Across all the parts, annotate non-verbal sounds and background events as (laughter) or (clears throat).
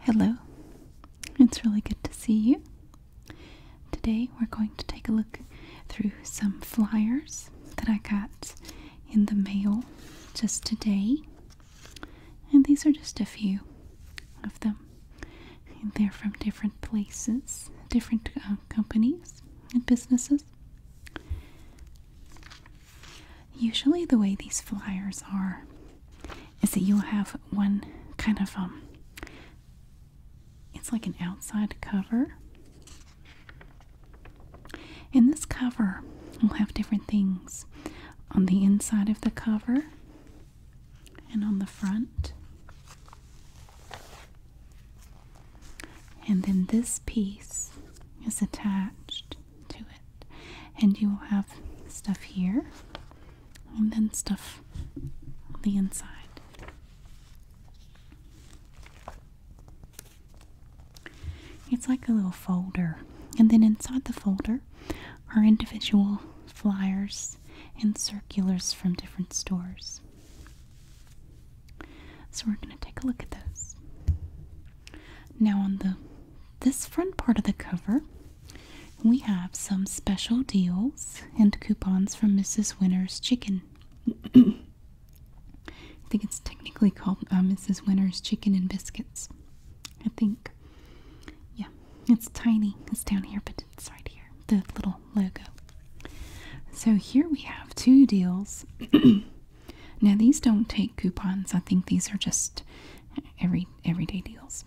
Hello, it's really good to see you. Today we're going to take a look through some flyers that I got in the mail just today. And these are just a few of them. they're from different places, different uh, companies and businesses. Usually, the way these flyers are is that you'll have one kind of um, it's like an outside cover, and this cover will have different things on the inside of the cover and on the front. And then this piece is attached to it. And you will have stuff here and then stuff on the inside. It's like a little folder. And then inside the folder are individual flyers and circulars from different stores. So we're going to take a look at this Now, on the this front part of the cover, we have some special deals and coupons from Mrs. Winner's Chicken. I think it's technically called uh, Mrs. Winner's Chicken and Biscuits. I think. Yeah, it's tiny. It's down here, but it's right here. The little logo. So here we have two deals. (clears throat) now, these don't take coupons. I think these are just every everyday deals.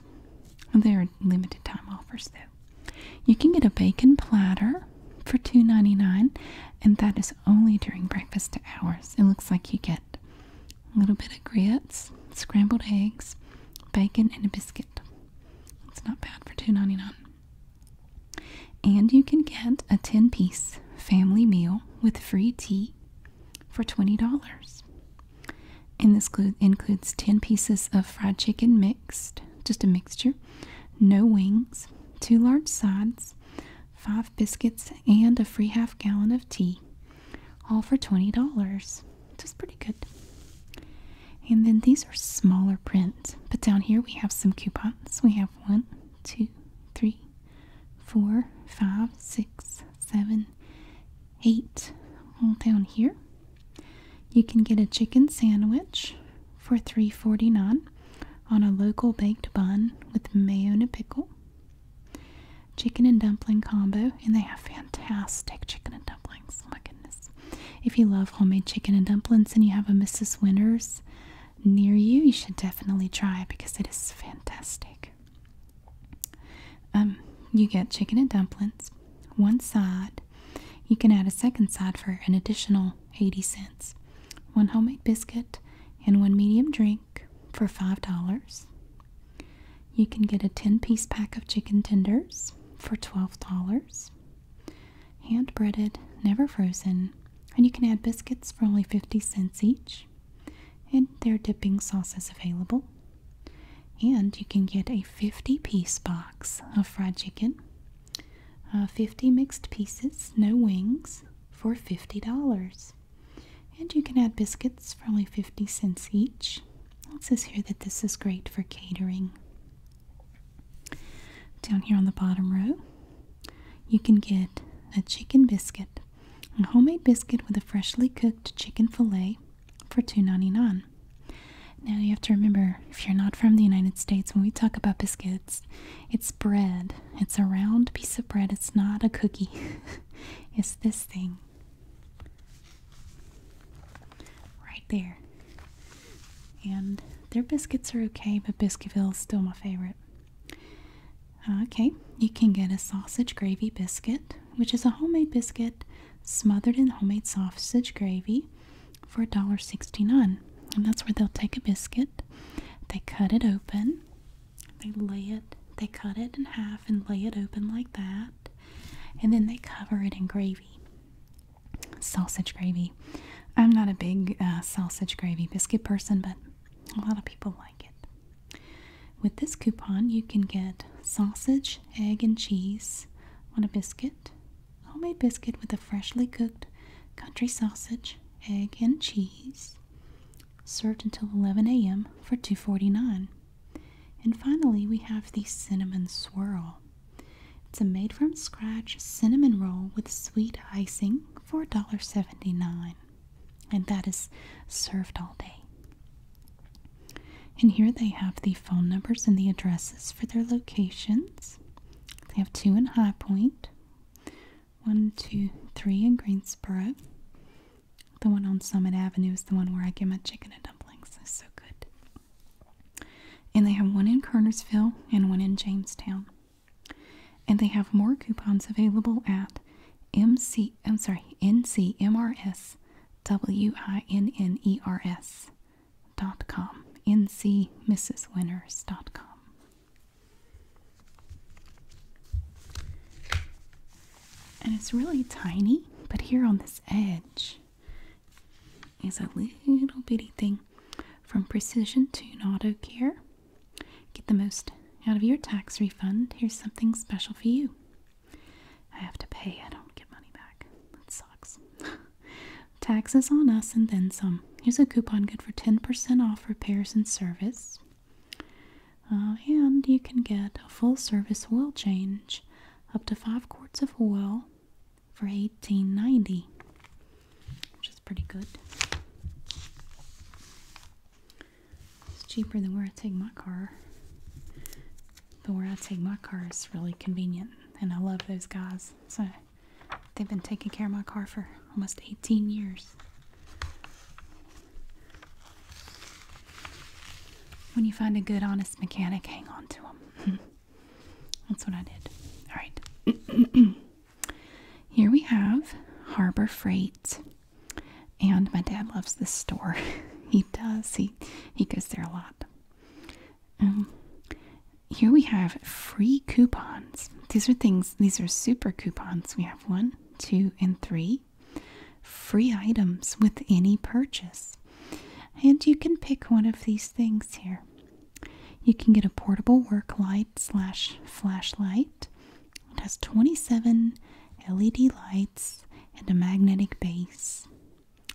There are limited time offers though. You can get a bacon platter for two ninety nine, and that is only during breakfast hours. It looks like you get a little bit of grits, scrambled eggs, bacon, and a biscuit. It's not bad for two ninety nine. And you can get a 10 piece family meal with free tea for $20. And this includes 10 pieces of fried chicken mixed, just a mixture, no wings, two large sides, five biscuits, and a free half gallon of tea, all for $20. Just pretty good. And then these are smaller print, but down here we have some coupons. We have one, two, three, four, five, six, seven, eight. All down here. You can get a chicken sandwich for three forty-nine on a local baked bun with mayo and pickle. Chicken and dumpling combo, and they have fantastic chicken and dumplings. Oh my goodness. If you love homemade chicken and dumplings and you have a Mrs. Winters near you, you should definitely try it because it is fantastic. Um, you get chicken and dumplings, one side. You can add a second side for an additional 80 cents, one homemade biscuit, and one medium drink for $5. You can get a 10 piece pack of chicken tenders for $12. Hand breaded, never frozen, and you can add biscuits for only 50 cents each and their dipping sauce is available. And you can get a 50 piece box of fried chicken, uh, 50 mixed pieces, no wings, for $50. And you can add biscuits for only 50 cents each. It says here that this is great for catering. Down here on the bottom row, you can get a chicken biscuit a homemade biscuit with a freshly cooked chicken fillet for $2.99. Now you have to remember, if you're not from the United States, when we talk about biscuits, it's bread. It's a round piece of bread. It's not a cookie. (laughs) it's this thing. Right there. And their biscuits are okay, but Biscuitville is still my favorite. Okay, you can get a sausage gravy biscuit, which is a homemade biscuit smothered in homemade sausage gravy for $1.69. And that's where they'll take a biscuit, they cut it open, they lay it, they cut it in half and lay it open like that, and then they cover it in gravy. Sausage gravy. I'm not a big uh, sausage gravy biscuit person, but a lot of people like it. With this coupon, you can get sausage, egg, and cheese on a biscuit, homemade biscuit with a freshly cooked country sausage, egg, and cheese, served until 11 a.m. for $2.49. And finally, we have the cinnamon swirl. It's a made from scratch cinnamon roll with sweet icing for seventy-nine and that is served all day. And here they have the phone numbers and the addresses for their locations. They have two in High Point, one, two, three in Greensboro. The one on Summit Avenue is the one where I get my chicken and dumplings. It's so good. And they have one in Kernersville and one in Jamestown. And they have more coupons available at MC I'm sorry, NCMRS W-I-N-N-E-R-S dot com. NCMrsWinners dot com. And it's really tiny, but here on this edge is a little bitty thing from Precision Tune Auto Care. Get the most out of your tax refund. Here's something special for you. I have to pay. I don't get money back. That sucks. (laughs) Taxes on us and then some. Here's a coupon good for 10% off repairs and service. Uh, and you can get a full service oil change up to 5 quarts of oil for 18.90 which is pretty good it's cheaper than where I take my car. But where I take my car is really convenient. And I love those guys. So they've been taking care of my car for almost 18 years. When you find a good, honest mechanic, hang on to them. (laughs) That's what I did. All right. (clears throat) Here we have Harbor Freight. And my dad loves this store. (laughs) he does. He he goes there a lot. Um, here we have free coupons. These are things. These are super coupons. We have one, two, and three free items with any purchase. And you can pick one of these things here. You can get a portable work light slash flashlight it has 27 LED lights and a magnetic base.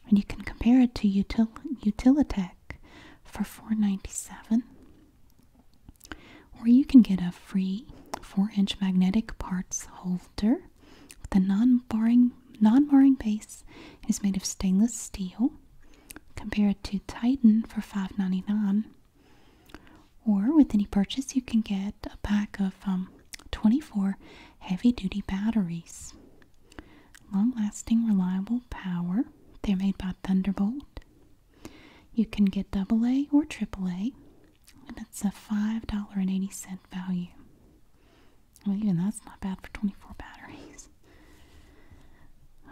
And you can compare it to Util Utilitech for 497, Or you can get a free 4-inch magnetic parts holder with a non marring base. It is made of stainless steel. Compare it to Titan for 599. Or with any purchase, you can get a pack of um, 24 heavy duty batteries. Long lasting, reliable power. They're made by Thunderbolt. You can get AA or AAA, and it's a $5.80 value. Well, even that's not bad for 24 batteries.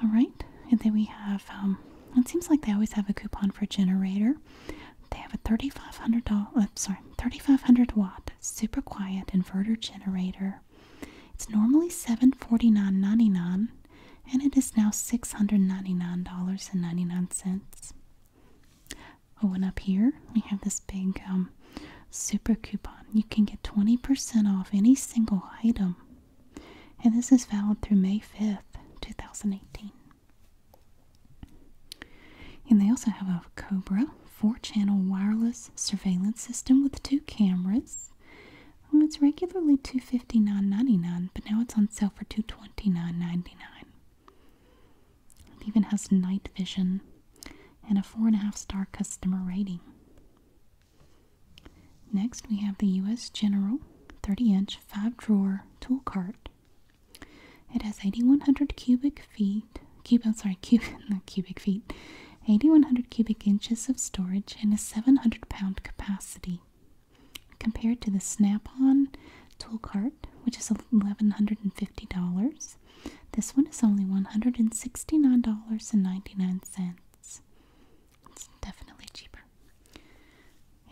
All right, and then we have, um, it seems like they always have a coupon for generator. They have a 3500 hundred dollar, uh, sorry, 3500 watt super quiet inverter generator. It's normally $749.99 and it is now $699.99. Oh, and up here we have this big um, super coupon. You can get 20% off any single item. And this is valid through May 5th, 2018. And they also have a Cobra four channel wireless surveillance system with two cameras. Um, it's regularly $259.99, but now it's on sale for $229.99. It even has night vision and a four and a half star customer rating. Next, we have the U.S. General 30 inch 5 drawer tool cart it has 8,100 cubic feet, cubic I'm sorry, (laughs) cubic feet, 8,100 cubic inches of storage and a 700 pound capacity. Compared to the Snap-on tool cart, which is $1,150, this one is only $169.99. It's definitely cheaper.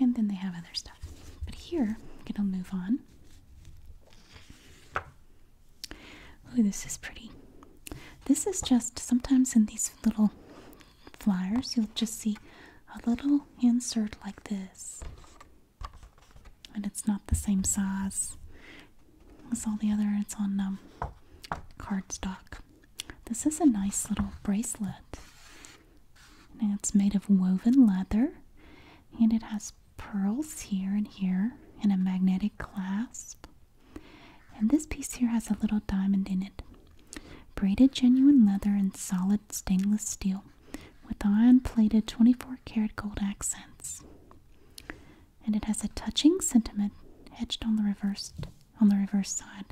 And then they have other stuff. But here, I'm gonna move on. Ooh, this is pretty. This is just sometimes in these little flyers, you'll just see a little insert like this. And it's not the same size as all the other, it's on um, cardstock. This is a nice little bracelet. And it's made of woven leather and it has pearls here and here and a magnetic clasp. And this piece here has a little diamond in it. Braided genuine leather and solid stainless steel with iron plated 24 karat gold accents. And it has a touching sentiment etched on the reversed on the reverse side.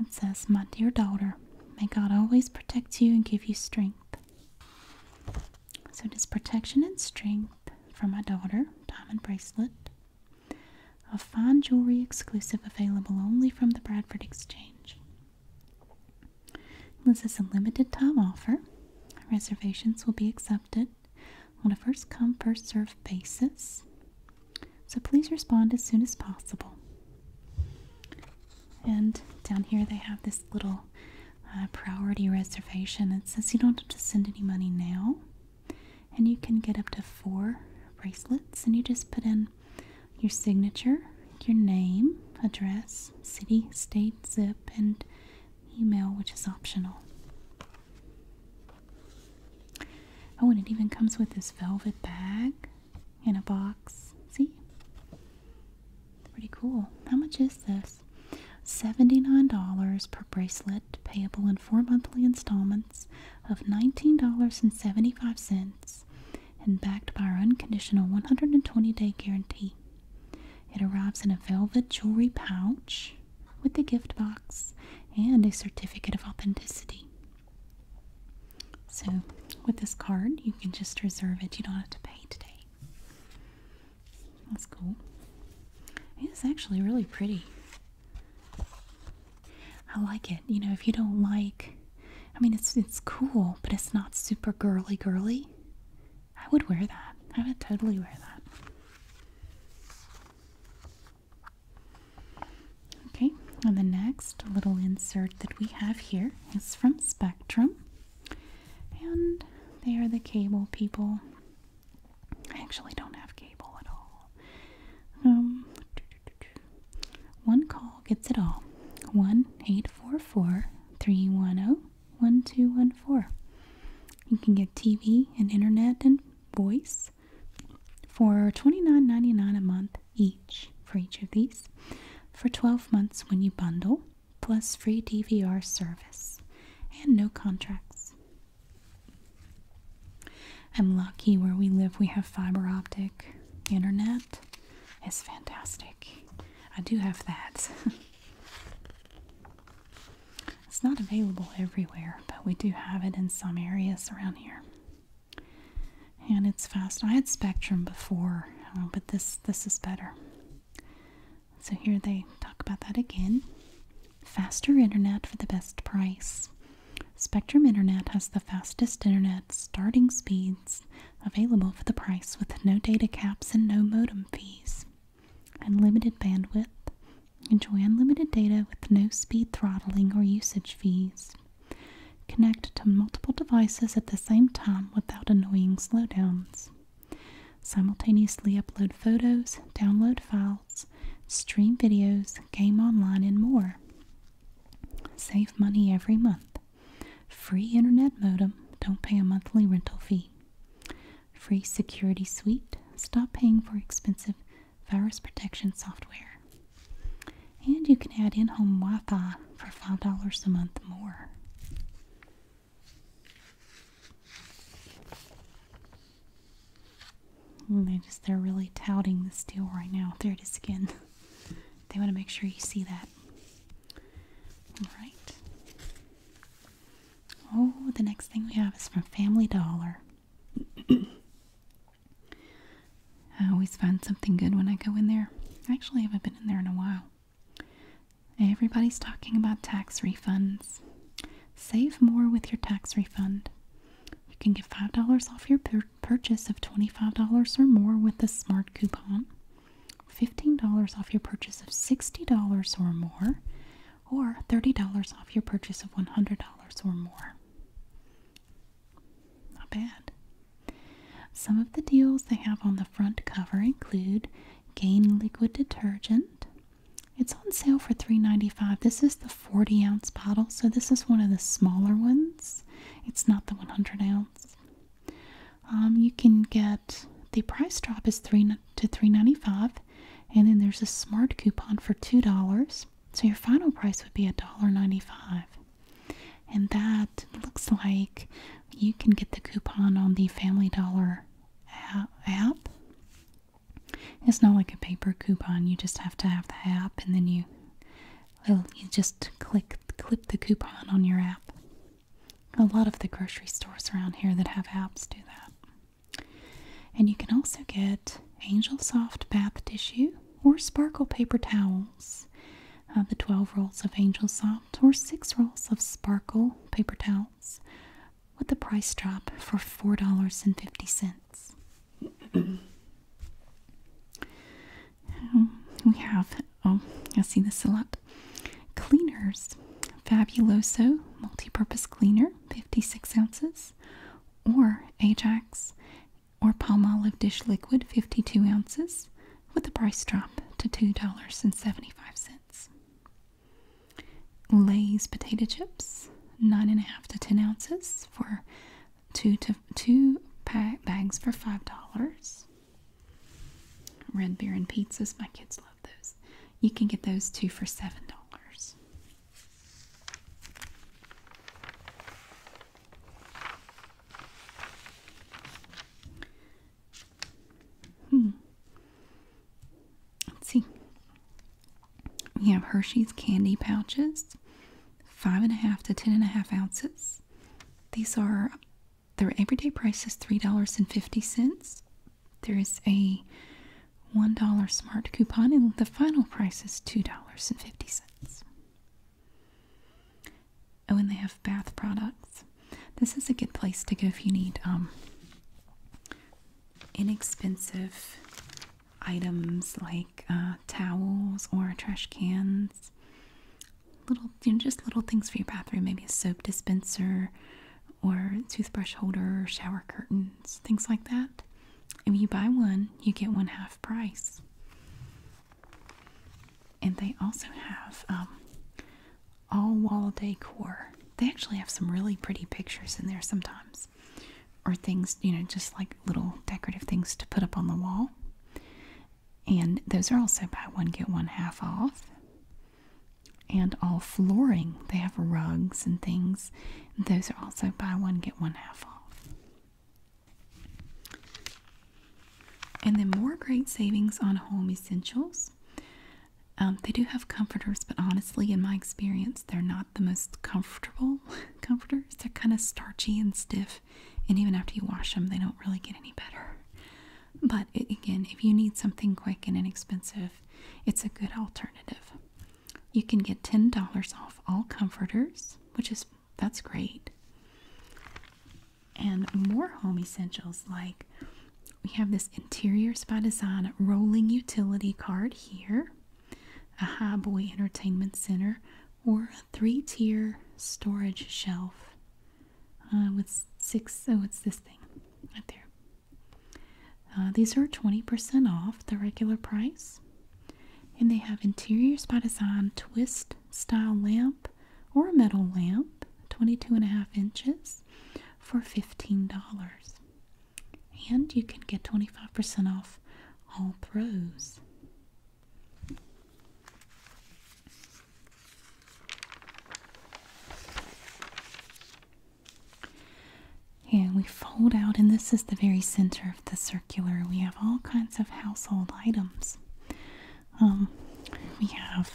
It says, My dear daughter, may God always protect you and give you strength. So it is protection and strength from my daughter, diamond bracelet. A fine jewelry exclusive available only from the Bradford Exchange. This is a limited time offer. Reservations will be accepted on a first come, first served basis. So please respond as soon as possible. And down here they have this little uh, priority reservation. It says you don't have to send any money now, and you can get up to four bracelets. And you just put in your signature, your name, address, city, state, zip, and email, which is optional. Oh, and it even comes with this velvet bag in a box. See? Pretty cool. How much is this? $79 per bracelet, payable in four monthly installments of $19.75 and backed by our unconditional 120 day guarantee. It arrives in a velvet jewelry pouch with a gift box and a certificate of authenticity. So, with this card, you can just reserve it. You don't have to pay today. That's cool. It's actually really pretty. I like it. You know, if you don't like, I mean, it's it's cool, but it's not super girly girly. I would wear that. I would totally wear that. Okay, and the next little insert that we have here is from Spectrum, and they are the cable people. I actually don't have cable at all. Um, one call gets it all. 1 310 1214. You can get TV and internet and voice for twenty nine ninety nine a month each for each of these for 12 months when you bundle, plus free DVR service and no contracts. I'm lucky where we live, we have fiber optic internet. It's fantastic. I do have that. (laughs) it's not available everywhere, but we do have it in some areas around here and it's fast. I had Spectrum before, uh, but this this is better. So here they talk about that again. Faster internet for the best price. Spectrum Internet has the fastest internet starting speeds available for the price with no data caps and no modem fees. Unlimited bandwidth. Enjoy unlimited data with no speed throttling or usage fees. Connect to multiple devices at the same time without annoying slowdowns. Simultaneously upload photos, download files, stream videos, game online, and more. Save money every month. Free internet modem, don't pay a monthly rental fee. Free security suite, stop paying for expensive virus protection software. And you can add in home Wi Fi for $5 a month more. Mm, they just, they're really touting the deal right now. There it is again. They want to make sure you see that. All right. Oh, the next thing we have is from Family Dollar. I always find something good when I go in there. I actually haven't been in there in a while. Everybody's talking about tax refunds. Save more with your tax refund. You can get $5 off your purchase of $25 or more with the smart coupon, $15 off your purchase of $60 or more, or $30 off your purchase of $100 or more. Not bad. Some of the deals they have on the front cover include Gain liquid detergent. It's on sale for $3.95. This is the 40 ounce bottle, so this is one of the smaller ones. It's not the 100 ounce. Um, you can get the price drop is three to $3.95, and then there's a smart coupon for $2. So your final price would be $1.95. And that looks like you can get the coupon on the Family Dollar app. It's not like a paper coupon, you just have to have the app and then you you just click clip the coupon on your app. A lot of the grocery stores around here that have apps do that. And you can also get Angel Soft bath tissue or sparkle paper towels of the 12 rolls of Angel Soft or 6 rolls of Sparkle paper towels with a price drop for $4.50. (clears throat) we have, oh, I see this a lot. Cleaners Fabuloso Multi Purpose Cleaner, 56 ounces, or Ajax or palm olive dish liquid 52 ounces with a price drop to $2.75. Lay's potato chips, 9.5 to 10 ounces for two, to, two pack bags for $5. Red Bear and pizzas, my kids love those. You can get those two for $7. Hmm. Let's see. We have Hershey's candy pouches, five and a half to ten and a half ounces. These are their everyday price is three dollars and fifty cents. There is a one dollar smart coupon, and the final price is two dollars and fifty cents. Oh, and they have bath products. This is a good place to go if you need um, inexpensive items like uh, towels or trash cans. Little, you know, just little things for your bathroom. Maybe a soap dispenser or toothbrush holder, shower curtains, things like that. If you buy one, you get one half price. And they also have um, all wall decor. They actually have some really pretty pictures in there sometimes, or things, you know, just like little decorative things to put up on the wall. And those are also buy one, get one half off. And all flooring, they have rugs and things. Those are also buy one, get one half off. And then more great savings on home essentials. Um, they do have comforters, but honestly, in my experience, they're not the most comfortable (laughs) comforters. They're kind of starchy and stiff, and even after you wash them, they don't really get any better. But again, if you need something quick and inexpensive, it's a good alternative. You can get $10 off all comforters, which is that's great. And more home essentials like we have this interior by Design rolling utility cart here, a highboy Entertainment Center, or a three-tier storage shelf uh, with six. Oh, it's this thing right there. Uh, these are 20% off the regular price. And they have interiors by design twist style lamp or a metal lamp, twenty-two and a half inches, for $15. And you can get 25% off all throws. And we fold out, and this is the very center the circular, we have all kinds of household items. Um, we have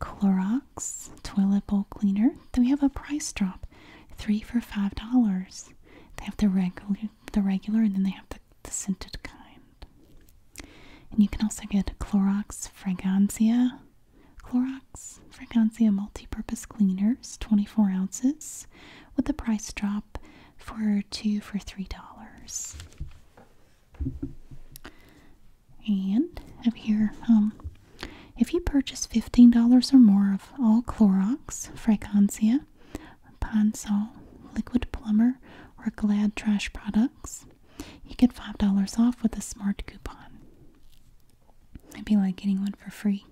Clorox toilet bowl cleaner. Then We have a price drop, three for five dollars. They have the regular, the regular, and then they have the, the scented kind. And you can also get Clorox Fragancia, Clorox Fragancia multi-purpose cleaners, 24 ounces, with a price drop for two for three dollars. And over here, um, if you purchase fifteen dollars or more of all Clorox, Fragancia, PanSol, Liquid Plumber, or Glad trash products, you get five dollars off with a smart coupon. It'd be like getting one for free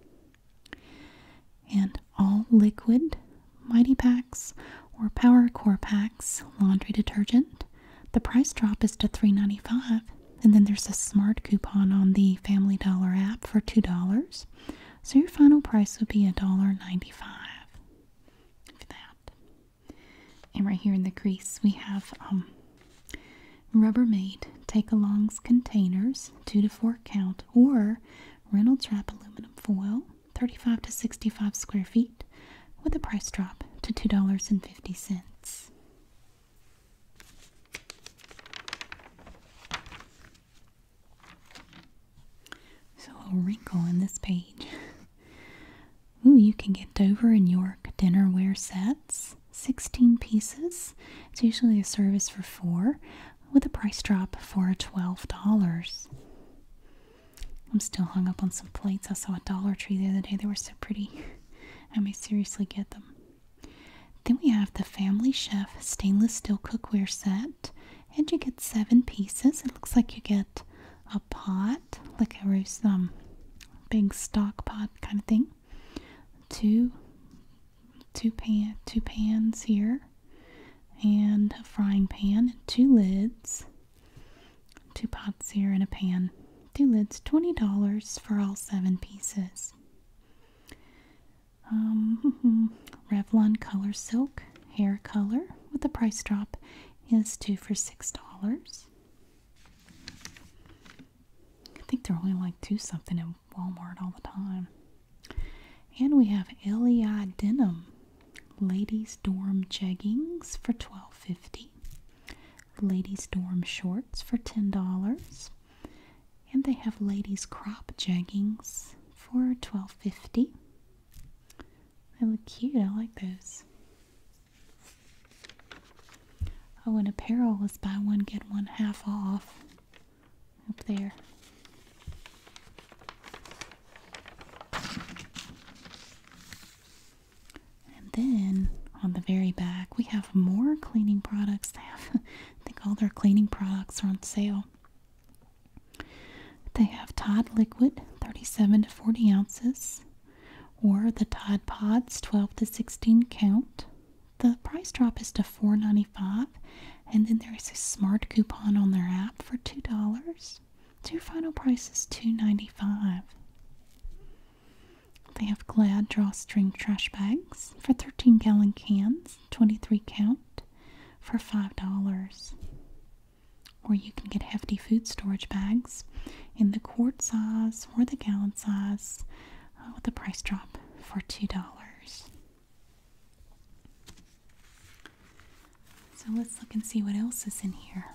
and all liquid Mighty Packs or Power Core Packs laundry detergent. The price drop is to $3.95, and then there's a smart coupon on the Family Dollar app for $2. So your final price would be $1.95 for that. And right here in the crease, we have um, Rubbermaid Take Alongs containers, two to four count, or Reynolds Wrap aluminum foil. 35 to 65 square feet, with a price drop to $2.50. So, a wrinkle in this page. Ooh, you can get Dover and York dinnerware sets, 16 pieces. It's usually a service for four with a price drop for $12. I'm still hung up on some plates. I saw a Dollar Tree the other day. They were so pretty. I may seriously get them. Then we have the Family Chef stainless steel cookware set. And you get seven pieces. It looks like you get a pot, like a roast, um, big stock pot kind of thing. Two, two pan, two pans here and a frying pan, two lids, two pots here, and a pan. Two lids, $20 for all seven pieces. Um, (laughs) Revlon Color Silk hair color with the price drop is two for six dollars. I think they're only like two something at Walmart all the time. And we have LEI denim, ladies dorm jeggings for $12.50, ladies dorm shorts for $10, and they have ladies crop jeggings for $12.50. They look cute, I like those. Oh, and apparel is buy one, get one half off up there. And then on the very back, we have more cleaning products. They have, (laughs) I think all their cleaning products are on sale. They have Tide Liquid, 37 to 40 ounces, or the Tide Pods, 12 to 16 count. The price drop is to $4.95 and then there is a smart coupon on their app for $2. Two final price is $2.95. They have Glad drawstring trash bags for 13 gallon cans, 23 count, for $5. Or you can get hefty food storage bags in the quart size or the gallon size uh, with a price drop for $2. So let's look and see what else is in here.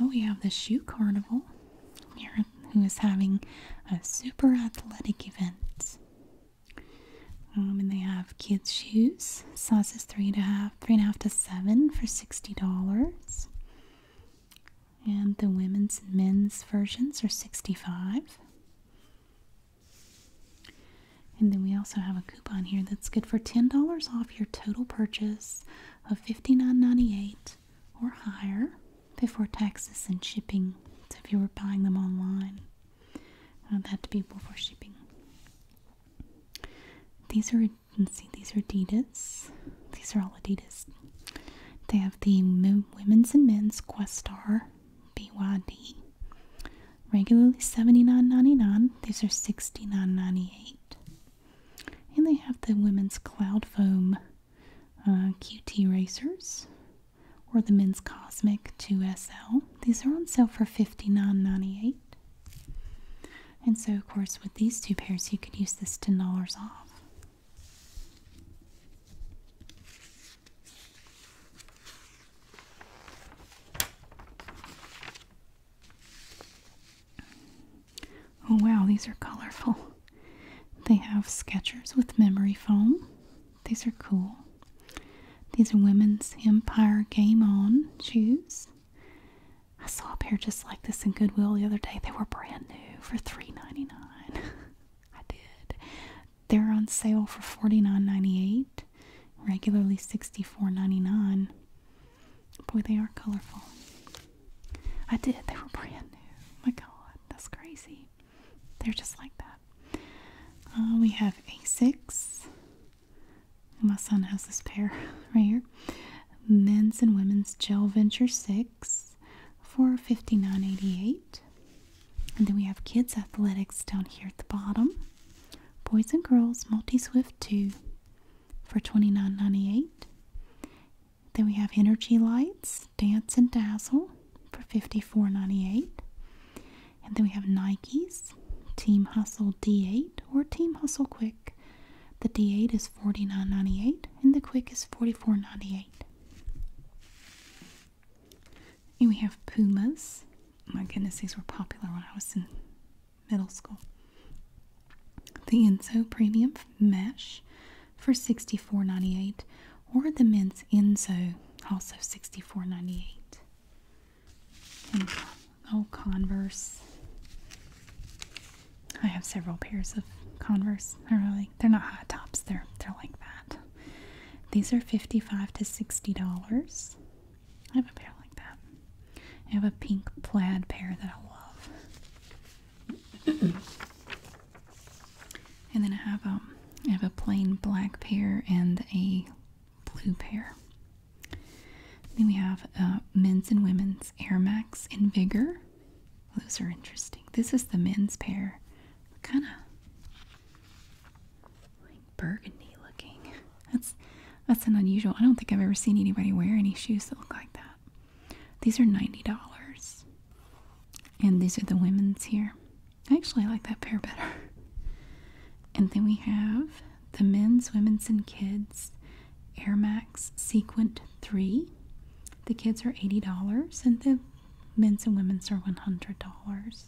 Oh, we have the shoe carnival here, who is having a super athletic event. Um, and they have kids' shoes, sizes three and a half, three and a half to seven for sixty dollars. And the women's and men's versions are sixty-five. And then we also have a coupon here that's good for $10 off your total purchase of $59.98 or higher before taxes and shipping. So if you were buying them online, uh, that would be before shipping. These are, see, these are Adidas. These are all Adidas. They have the women's and men's Questar BYD. Regularly seventy nine ninety nine. These are sixty nine ninety eight. And they have the women's Cloud Foam uh, QT Racers or the men's Cosmic 2SL. These are on sale for fifty nine ninety eight. And so, of course, with these two pairs, you could use this $10 off. Oh wow, these are colorful. They have sketchers with memory foam. These are cool. These are women's Empire Game On shoes. I saw a pair just like this in Goodwill the other day. They were brand new for $3.99. (laughs) I did. They're on sale for $49.98, regularly $64.99. Boy, they are colorful. I did, they were brand new. my god, that's crazy. They're just like that. Uh, we have A6. My son has this pair (laughs) right here. Men's and women's Gel Venture 6 for $59.88. And then we have kids athletics down here at the bottom. Boys and girls multi swift 2 for $29.98. Then we have energy lights, dance and dazzle for $54.98. And then we have Nikes, Team Hustle D8 or Team Hustle Quick. The D8 is $49.98 and the Quick is $44.98. And we have pumas. my goodness, these were popular when I was in middle school. The Inso Premium Mesh for $64.98 or the men's Inso also $64.98. Converse. I have several pairs of Converse. They're they're not high tops, they're they're like that. These are 55 to $60. I have a pair like that. I have a pink plaid pair that I love. and then I have um have a plain black pair and a blue pair. Then we have uh, men's and women's Air Max and Vigor. Those are interesting. This is the men's pair. Kind of like burgundy looking. That's that's an unusual. I don't think I've ever seen anybody wear any shoes that look like that. These are ninety dollars, and these are the women's here. I actually like that pair better. And then we have the men's, women's, and kids Air Max Sequent Three. The kids are eighty dollars, and the Men's and women's are $100.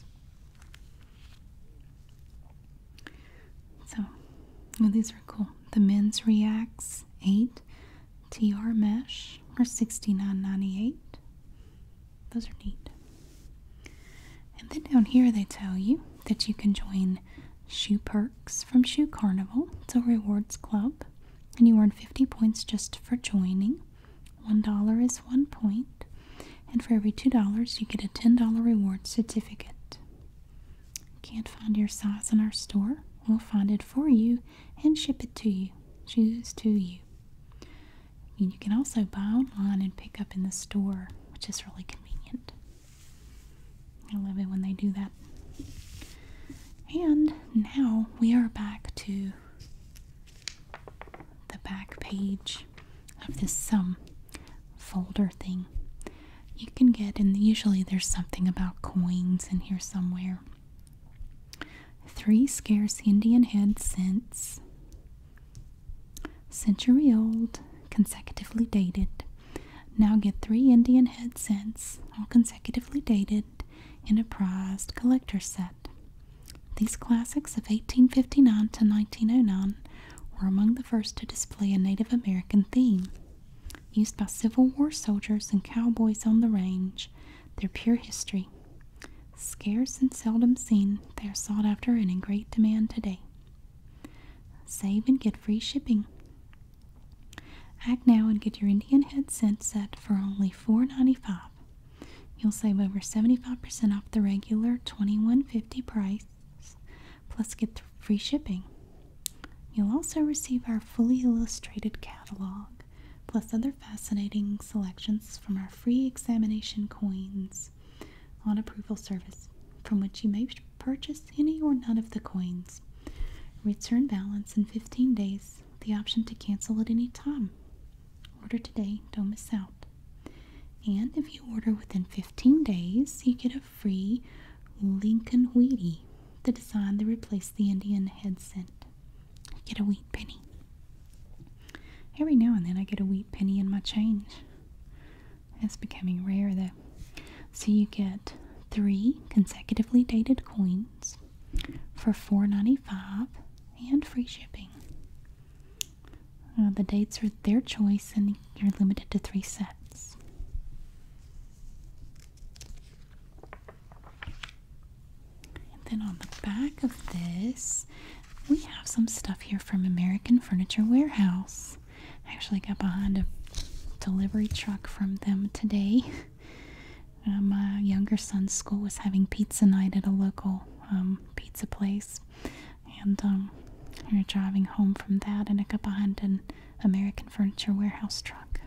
So, these are cool. The men's Reacts 8 TR Mesh are $69.98. Those are neat. And then down here, they tell you that you can join Shoe Perks from Shoe Carnival. It's a rewards club, and you earn 50 points just for joining. One dollar is one point, and for every two dollars, you get a ten dollar reward certificate. Can't find your size in our store? We'll find it for you and ship it to you. Choose to you. you can also buy online and pick up in the store, which is really convenient. I love it when they do that. And now we are back to the back page of this some um, folder thing. You can get, and usually there's something about coins in here somewhere. Three scarce Indian head cents, century old, consecutively dated. Now get three Indian head cents, all consecutively dated, in a prized collector set. These classics of 1859 to 1909 were among the first to display a Native American theme. Used by Civil War soldiers and cowboys on the range, their pure history. Scarce and seldom seen, they are sought after and in great demand today. Save and get free shipping. Act now and get your Indian head set set for only four ninety five. You'll save over 75% off the regular $21.50 price, plus get free shipping. You'll also receive our fully illustrated catalog, plus other fascinating selections from our free examination coins on approval service, from which you may purchase any or none of the coins. Return balance in 15 days the option to cancel at any time. Order today, don't miss out. And if you order within 15 days, you get a free Lincoln Wheatie, the design that replaced the Indian head cent. get a wheat penny. Every now and then I get a wheat penny in my change. It's becoming rare though. So you get three consecutively dated coins, for $4.95 and free shipping. Uh, the dates are their choice and you're limited to three sets. And then on the back of this, we have some stuff here from American Furniture Warehouse. I actually got behind a delivery truck from them today. Um, my younger son's school was having pizza night at a local um, pizza place, and um, we were driving home from that, and I got behind an American Furniture Warehouse truck.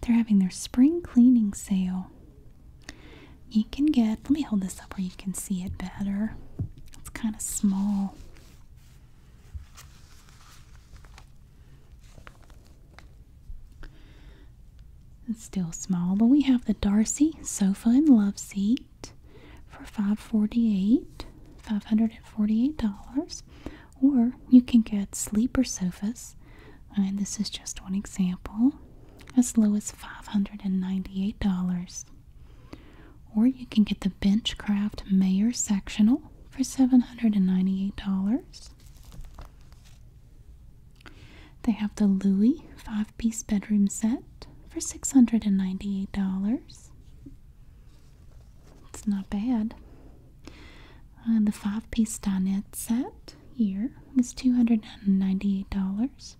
They're having their spring cleaning sale. You can get, let me hold this up where you can see it better. It's kind of small. It's still small, but we have the Darcy sofa and love seat for $548, $548. Or you can get sleeper sofas, and this is just one example, as low as $598. Or you can get the Benchcraft Mayor sectional for $798. They have the Louis five piece bedroom set for $698. It's not bad. Uh, the five piece dinette set here is $298.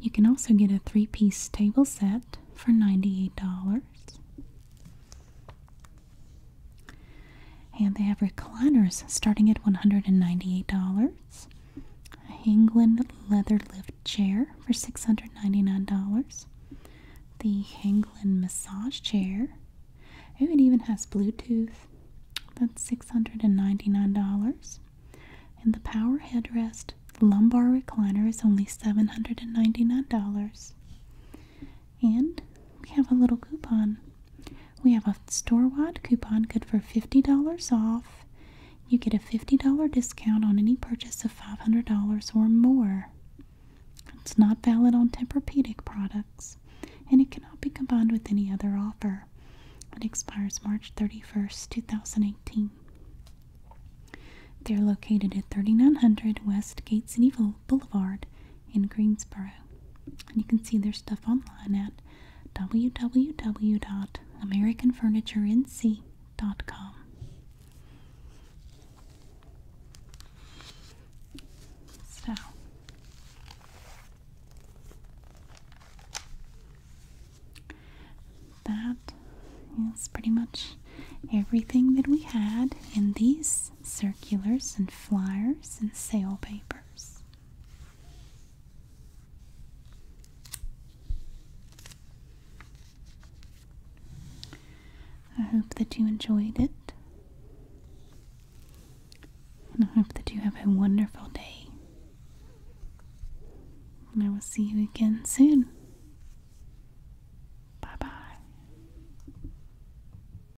You can also get a three piece table set for $98. And they have recliners starting at $198. A Hangland leather lift chair for $699. The Hangland massage chair. it even has Bluetooth. That's $699. And the power headrest lumbar recliner is only $799. And we have a little coupon we have a store-wide coupon good for $50 off. You get a $50 discount on any purchase of $500 or more. It's not valid on Tempur-Pedic products, and it cannot be combined with any other offer. It expires March 31st, 2018. They're located at 3900 West Gates City Boulevard in Greensboro. And you can see their stuff online at www.americanfurniturenc.com. So that is pretty much everything that we had in these circulars, and flyers, and sale papers. I hope that you enjoyed it. I hope that you have a wonderful day. And I will see you again soon. Bye bye.